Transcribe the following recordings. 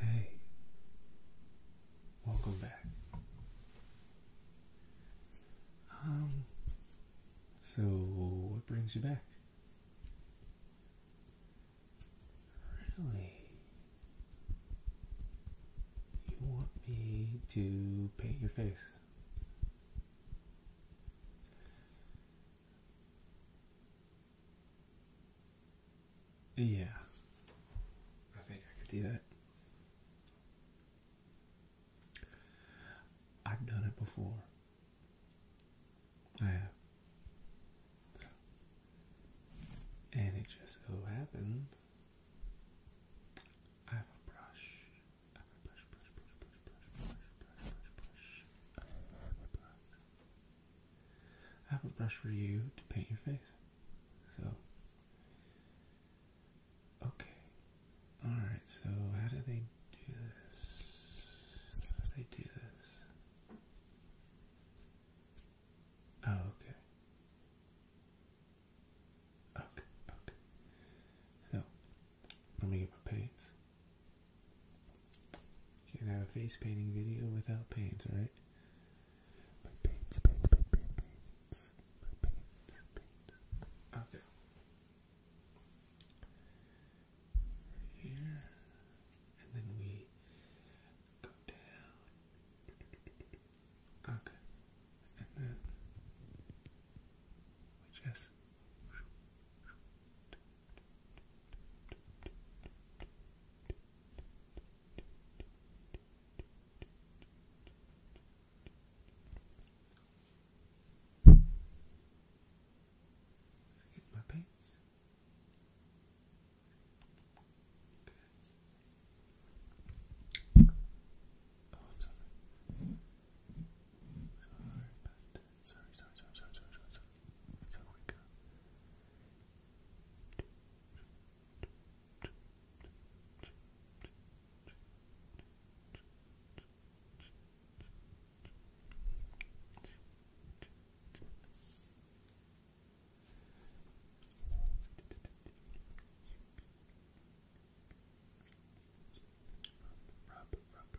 Hey, welcome back. Um, so what brings you back? Really? You want me to paint your face? Yeah, I think I could do that. I've done it before. I have. And it just so happens I have a brush. I have a brush for you to paint your face. So, okay. Alright, so how do they do this? How do they do this? Oh, okay. Okay, okay. So, let me get my paints. Can't have a face painting video without paints, right? Okay. Right and then we go down. Okay, and then we just. Get my paints. Okay. Oh, I'm sorry. Sorry about that sorry, sorry, sorry, sorry, sorry, sorry, sorry. It's a quick. Rub, rub, rub,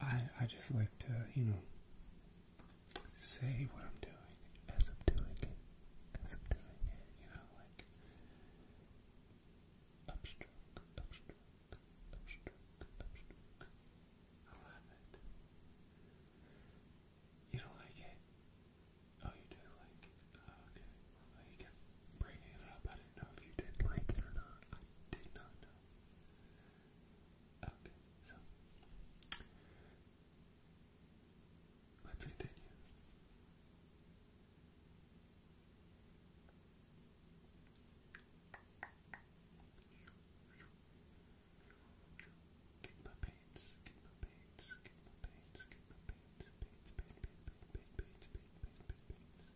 I I just like to, you know, say what I'm doing as I'm doing it, as I'm doing it, you know, like upstroke, upstroke, upstroke, upstroke. I You don't like it? Oh, you do like oh, okay. there you go bringing it up. I didn't know if you did like it or not. I did not know. Okay, so let's continue. Get my paints, get my paints, get my paints, get my paints, paints, paints, paints, paints, paints, paints, paints, paints.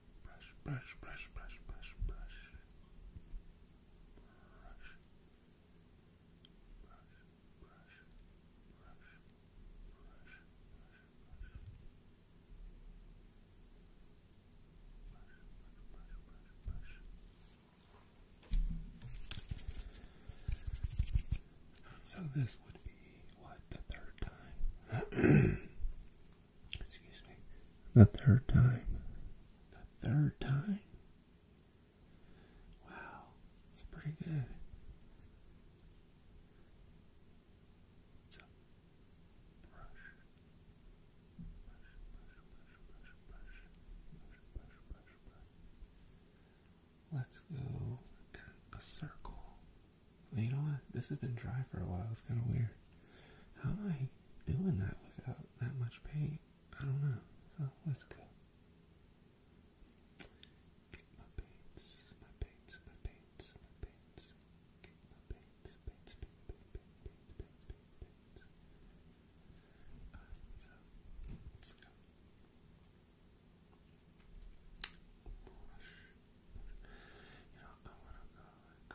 So this would be what the third time. Excuse me. The third time. The third time. Wow, that's pretty good. Let's go in a circle you know what? This has been dry for a while. It's kind of weird. How am I doing that without that much paint? I don't know. So let's go. my paints, my paints, my paints, my paints. my paints, paints, paints, paints, paints, paints, paints, paints. so let's go. You know, I want to go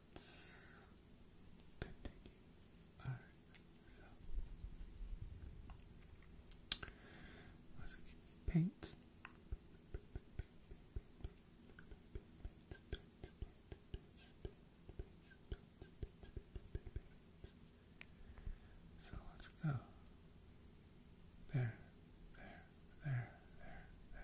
let's continue. Alright, so let's paint. So let's go. There, there, there, there, there,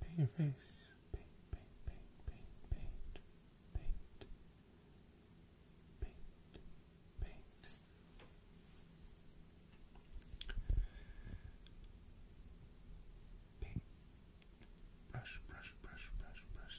Paint your face. Paint, paint, paint, paint, paint, paint, paint, paint. Paint. Brush, brush, brush, brush, brush.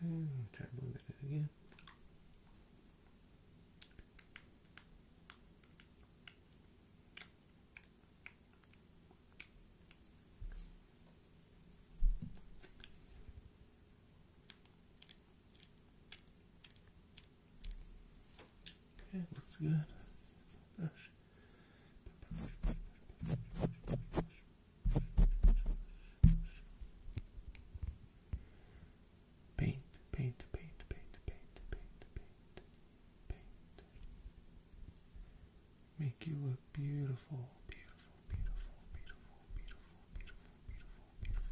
Okay, I'll try to move it again. Okay, looks good. Paint, paint, paint, paint, paint, paint, paint, paint. Make you look beautiful, beautiful, beautiful, beautiful, beautiful, beautiful, beautiful, beautiful.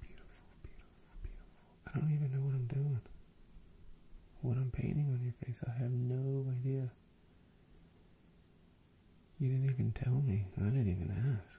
Beautiful, beautiful, beautiful. I don't even know what I'm doing. What I'm painting on your face, I have no idea. You didn't even tell me. I didn't even ask.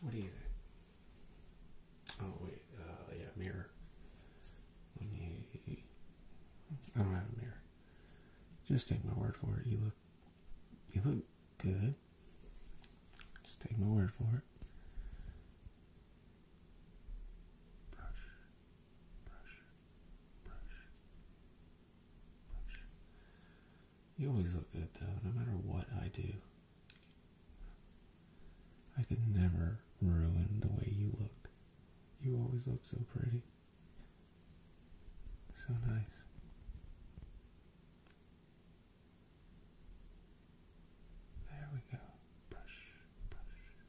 What do you think? Oh wait, uh, yeah, mirror. Let me. I don't have a mirror. Just take my word for it. You look, you look good. Just take my word for it. Brush. You always look good though, no matter what I do. I can never ruin the way you look. You always look so pretty. So nice. There we go. Brush, brush,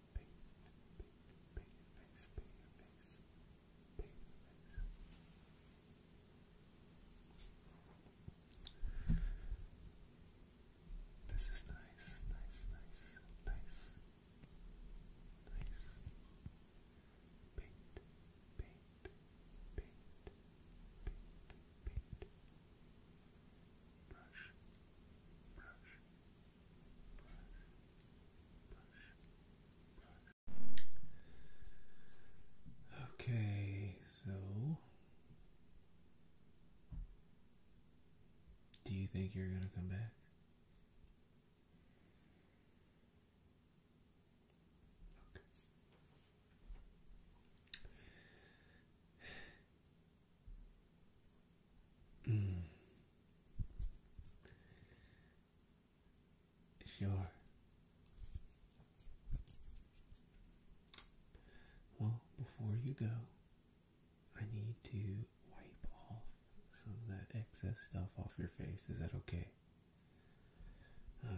paint paint paint your face, paint your face, paint your face. This is nice, nice, nice, nice, nice. Paint, paint, paint, paint, paint, paint, Okay, so do you think you're going to come back? Mm. Sure. Well, before you go, I need to wipe off some of that excess stuff off your face. Is that okay? Okay.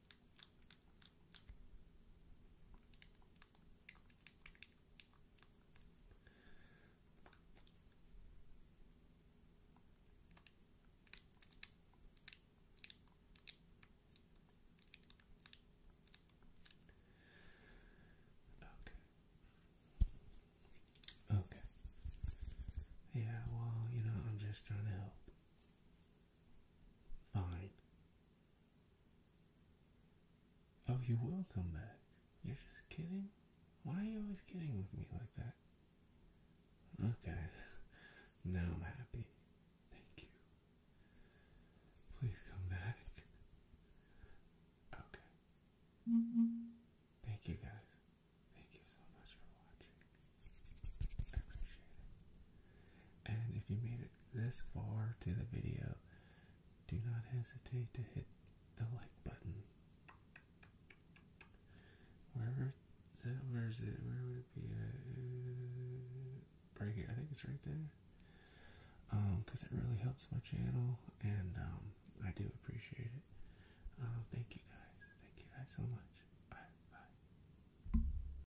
Okay. Okay. Yeah, well, you know, I'm just trying to help. Fine. Oh, you will come back. You're just kidding? Why are you always kidding with me like that? Okay. Now I'm happy. Thank you. Please come back. Okay. Thank you guys. Thank you so much for watching. appreciate it. And if you made it this far to the video, do not hesitate to hit the like button. Where is it? Where would it be? Uh, right here. I think it's right there. Um, because it really helps my channel, and um, I do appreciate it. Um, thank you guys. Thank you guys so much. Bye. Bye.